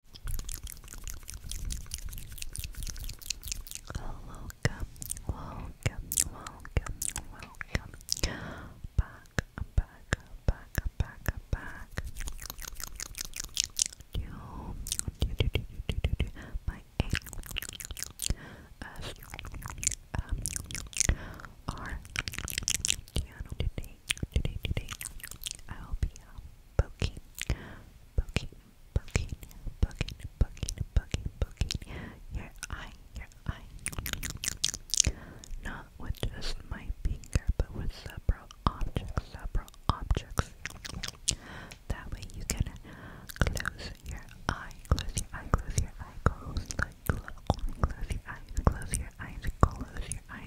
Welcome, welcome, welcome, welcome back, back, back, back, back to, my ASMR poking, poking, poking, poking, poking, poking, poking your eye, your eye. Not with just my finger, but with several objects, several objects. That way you can close your eye, close your eye, close your eye, close, like, close, close your eyes, close your eyes, close your eyes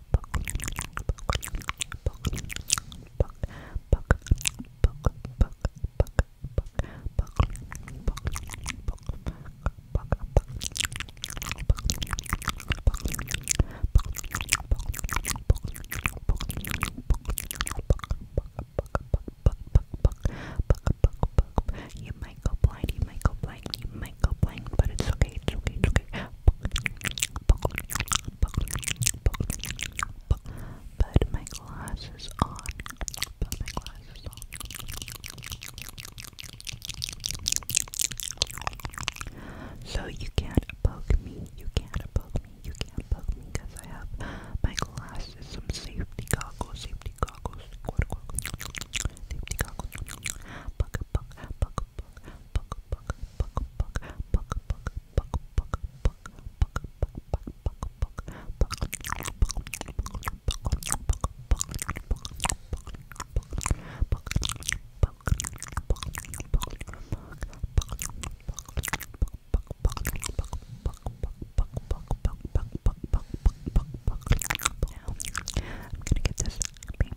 Buck, you might go blind, you might but it's okay, it's okay, it's okay. Put my glasses on. So you can't poke me, you can't poke me, you can't poke me because I have my glasses, some safety goggles, safety goggles, safety goggles, safety goggles, poke, poke, poke, I'm gonna get this happy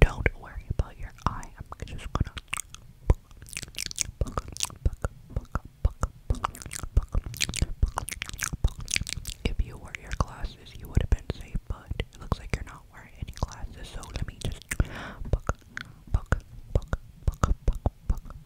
Don't worry about your eye. I'm just gonna. If you wore your glasses, you would have been safe, but it looks like you're not wearing any glasses, so let me just.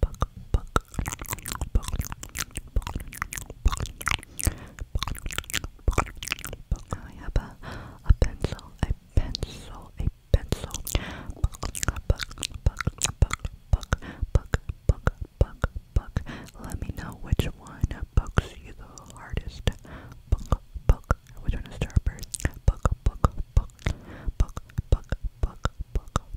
buck, I have a, a pencil, a pencil, a pencil. Buck, buck, buck, buck, buck, buck, buck, buck, buck. Let me know which one bucks you the hardest. Buck, buck. Which one is sharper? Buck, buck, buck, buck, buck, buck, buck,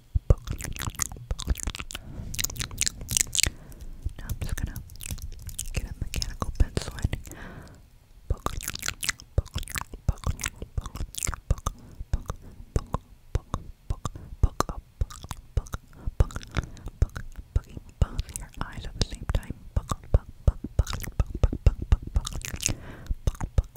Now I'm just gonna get a mechanical pencil and poke, poke, poke, poke, poke, poke, poke, poke, poke, poke up, poke, poke, poke, poking both your eyes at the same time. Poke, poke, poke, poke, poke, poke, poke, poke, poke, poke,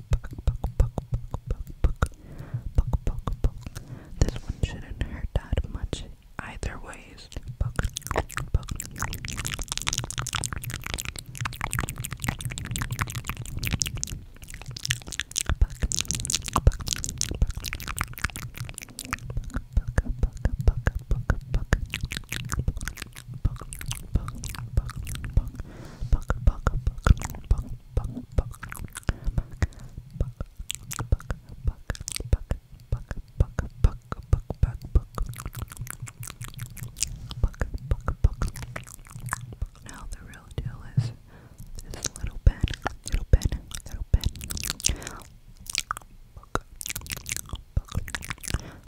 This one shouldn't hurt that much either ways. Buck, buck, buck, buck, buck, buck, buck, buck, buck, Buck, buck, buck, buck, buck, buck, buck, buck, buck, buck, buck, buck, buck, buck, buck, buck, buck. Now the real deal is this little pen, little pen, little pen. Buck, buck, buck,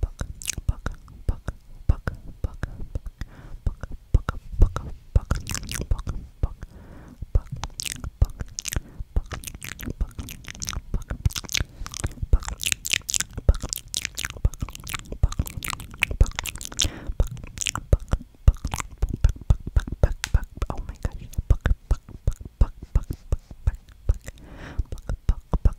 buck, buck, buck, buck, buck, buck, buck, buck, buck, buck, buck, buck, buck, buck, buck, buck, buck, buck, Oh my gosh, buck, buck, buck, buck, buck, buck, buck, buck, buck, buck,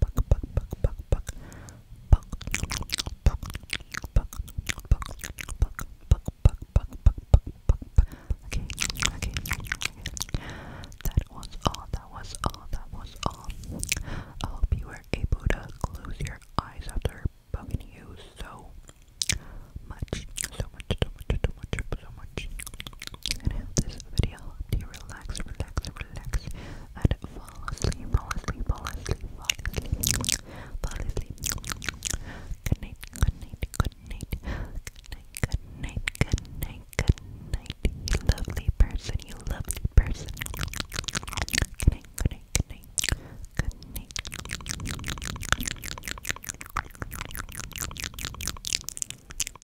Buck, okay, okay. That was all. That was all. That was all. I hope you were able to close your eyes after bugging you so much, so much, so much, so much, so much. And I hope this video helped you relax, relax, relax, and fall asleep, fall asleep, fall asleep, fall asleep, fall asleep. Good night, good night, good night, good night, good night, good night, good night. You lovely person, you lovely person. Good night, good night, good night, good night.